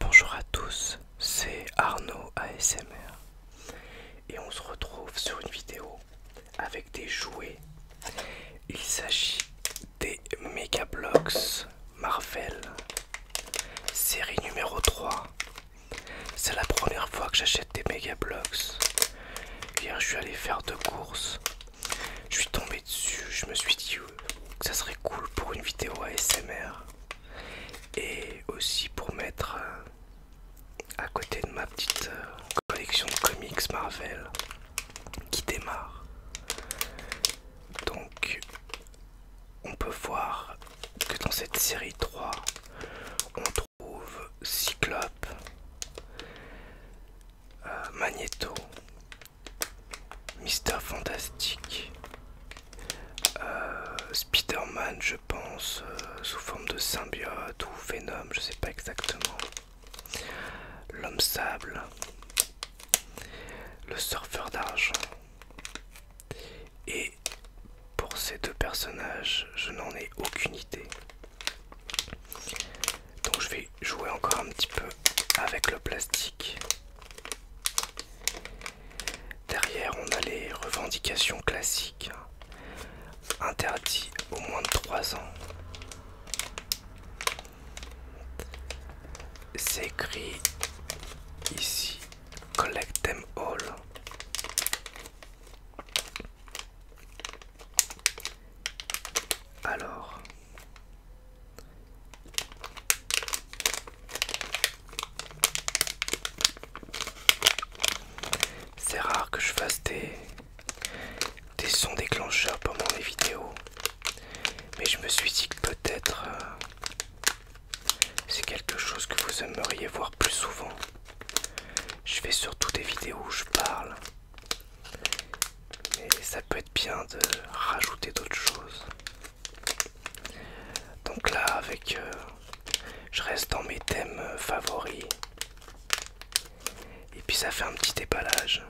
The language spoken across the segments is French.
Bonjour à tous, c'est Arnaud ASMR et on se retrouve sur une vidéo avec des jouets. Il s'agit des Mega Bloks Marvel série numéro 3. C'est la première fois que j'achète des Mega Bloks. Hier, je suis allé faire deux courses. Je suis tombé dessus, je me suis dit ça serait cool pour une vidéo ASMR et aussi pour mettre euh, à côté de ma petite euh, collection de comics Marvel qui démarre. Donc on peut voir que dans cette série 3 on trouve Cyclope, euh, Magneto, Mister Fantastique, euh, Spider-Man, je pense, euh, sous forme de symbiote ou Venom, je sais pas exactement. L'homme sable, le surfeur d'argent. Et pour ces deux personnages, je n'en ai aucune idée. Donc je vais jouer encore un petit peu avec le plastique. Derrière, on a les revendications classiques. Interdit au moins de 3 ans. C'est écrit ici Collect them all. Alors, c'est rare que je fasse des, des sons déclencheurs pendant les vidéos, mais je me suis dit que peut-être euh, c'est quelque chose que vous aimeriez voir plus souvent. Je fais surtout des vidéos où je parle, mais ça peut être bien de rajouter d'autres choses. Donc là, avec, euh, je reste dans mes thèmes euh, favoris. Et puis ça fait un petit déballage.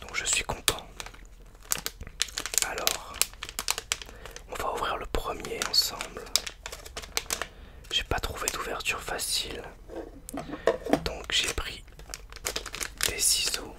Donc je suis content. Alors, on va ouvrir le premier ensemble. J'ai pas trouvé d'ouverture facile. Donc j'ai pris des ciseaux.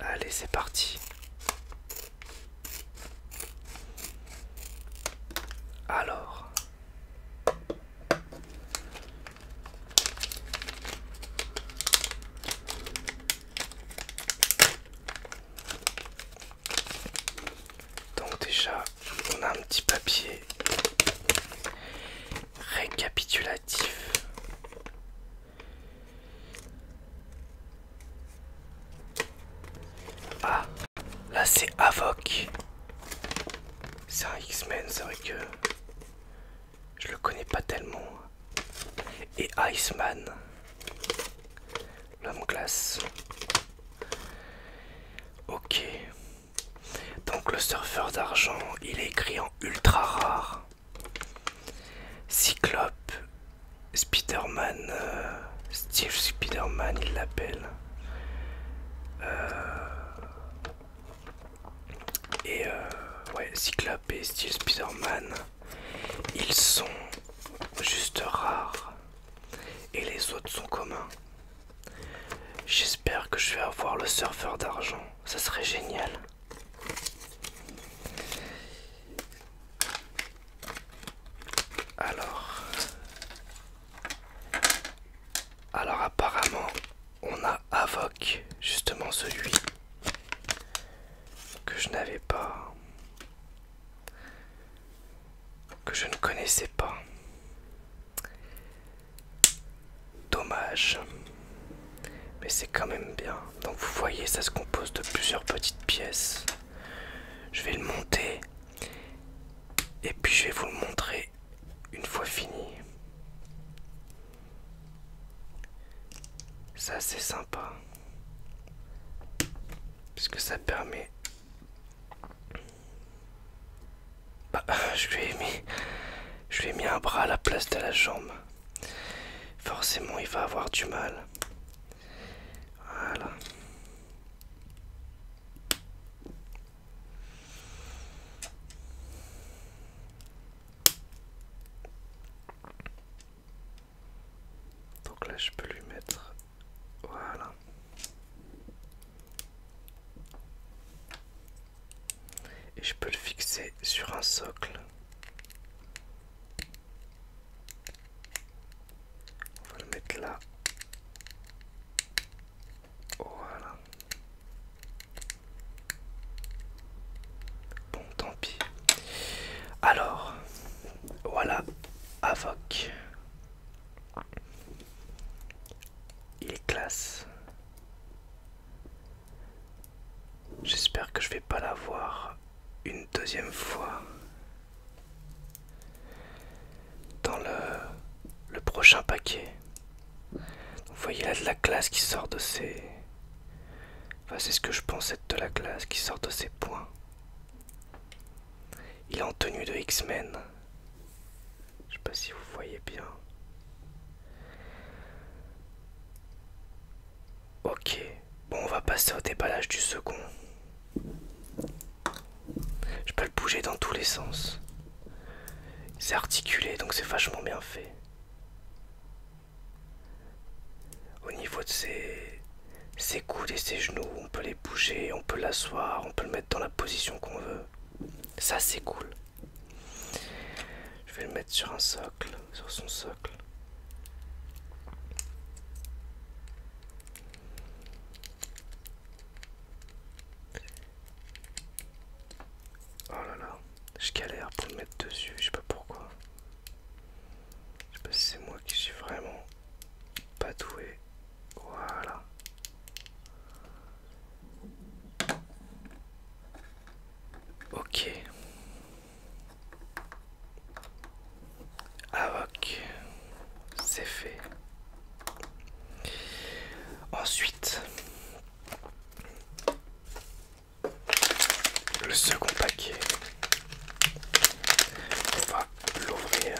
Allez, c'est parti. Alors, donc déjà, on a un petit papier récapitulatif. Ah, là c'est Avoc. C'est un X-Men, c'est vrai que je le connais pas tellement. Et Iceman l'homme classe Ok. Donc le surfeur d'argent, il est écrit en ultra rare. Cyclope, Spiderman man euh, Steve Spider-Man il l'appelle. Euh, et euh, ouais, Cyclope et Steve spider ils sont juste rares et les autres sont communs. J'espère que je vais avoir le surfeur d'argent, ça serait génial. Alors, alors apparemment, on a Avoc, justement celui que je n'avais pas que je ne connaissais pas. Dommage. Mais c'est quand même bien. Donc vous voyez, ça se compose de plusieurs petites pièces. Je vais le monter. Et puis je vais vous le montrer une fois fini. Ça c'est sympa. Puisque ça permet... Bah, je lui ai mis... Je lui ai mis un bras à la place de la jambe. Forcément, il va avoir du mal. Voilà. Donc là, je peux lui mettre. Voilà. Et je peux le fixer sur un socle. On va le mettre là. Voilà tant pis. Alors, voilà, Avoc. Il classe. J'espère que je vais pas l'avoir une deuxième fois dans le, prochain paquet. Vous voyez là de la classe qui sort de ses... Enfin c'est ce que je pensais de la classe qui sort de ses points. Il est en tenue de X-Men. Je sais pas si vous voyez bien. Ok, bon on va passer au déballage du second. Je peux le bouger dans tous les sens. C'est articulé donc c'est vachement bien fait. Au niveau de ses, coudes et ses genoux, on peut les bouger, on peut l'asseoir, on peut le mettre dans la position qu'on veut. Ça c'est cool. Je vais le mettre sur un socle, sur son socle. Oh là là, je galère pour le mettre dessus, je sais pas pourquoi. Je sais pas c'est moi qui suis vraiment pas doué. Voilà. Ok. Avoc. C'est fait. Ensuite, le second paquet. On va l'ouvrir.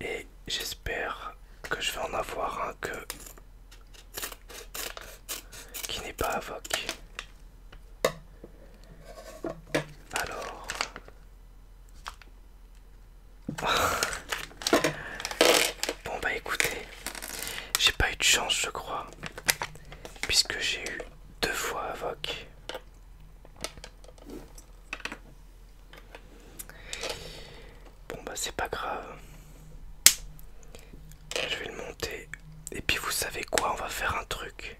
Et j'espère que je vais en avoir un que qui n'est pas avoc. Alors Bon bah écoutez, j'ai pas eu de chance je crois puisque j'ai eu deux fois Avoc. Bon bah c'est pas grave. Je vais le monter. Et puis vous savez quoi, on va faire un truc.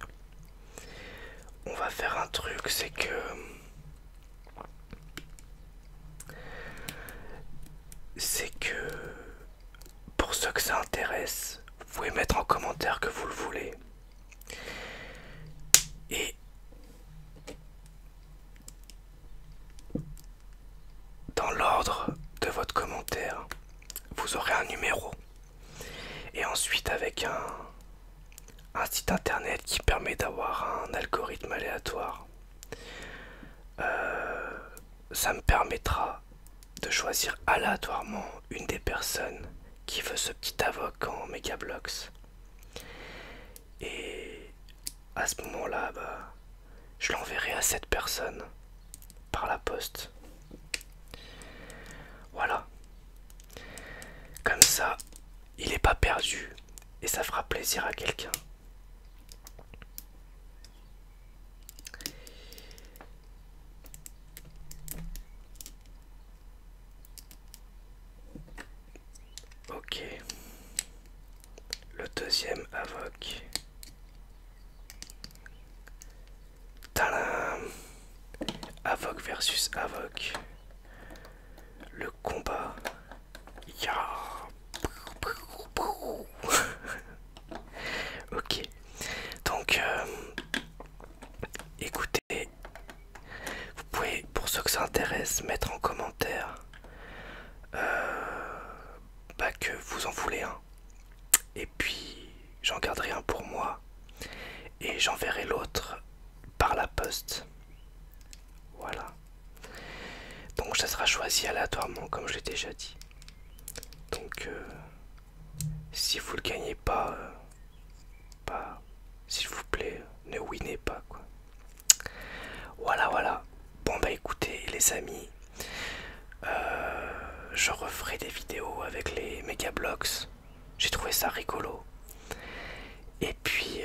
On va faire un truc, c'est que... C'est que pour ceux que ça intéresse, vous pouvez mettre en commentaire que vous le voulez. Et dans l'ordre de votre commentaire, vous aurez un numéro. Et ensuite avec un, site internet qui permet d'avoir un algorithme aléatoire. Euh, ça me permettra de choisir aléatoirement une des personnes qui veut ce petit avocat en Megablox. Et à ce moment-là, bah, je l'enverrai à cette personne par la poste. Voilà. Comme ça, il n'est pas perdu et ça fera plaisir à quelqu'un. Ok. Le deuxième avoc. Tadam Avoc versus Avoc. Le combat. Ya ok donc euh, écoutez vous pouvez pour ceux que ça intéresse mettre en commentaire euh, bah, que vous en voulez un et puis j'en garderai un pour moi et j'enverrai l'autre par la poste voilà donc ça sera choisi aléatoirement comme je l'ai déjà dit donc, euh, si vous le gagnez pas, euh, s'il vous plaît, ne winnez pas Voilà, voilà. Bon bah écoutez les amis, euh, je referai des vidéos avec les méga blocks. J'ai trouvé ça rigolo. Et puis,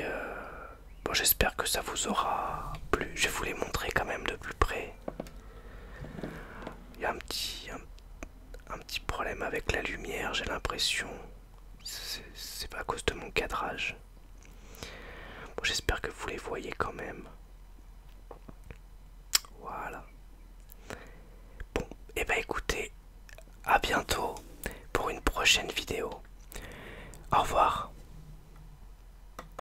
bon, j'espère que ça vous aura plu. Je vais vous les montrer quand même de plus près. Il y a un petit, un, petit problème avec la lumière, j'ai l'impression. C'est pas à cause de mon cadrage. Bon, J'espère que vous les voyez quand même. Voilà. Bon, et eh bah ben, écoutez, à bientôt pour une prochaine vidéo. Au revoir.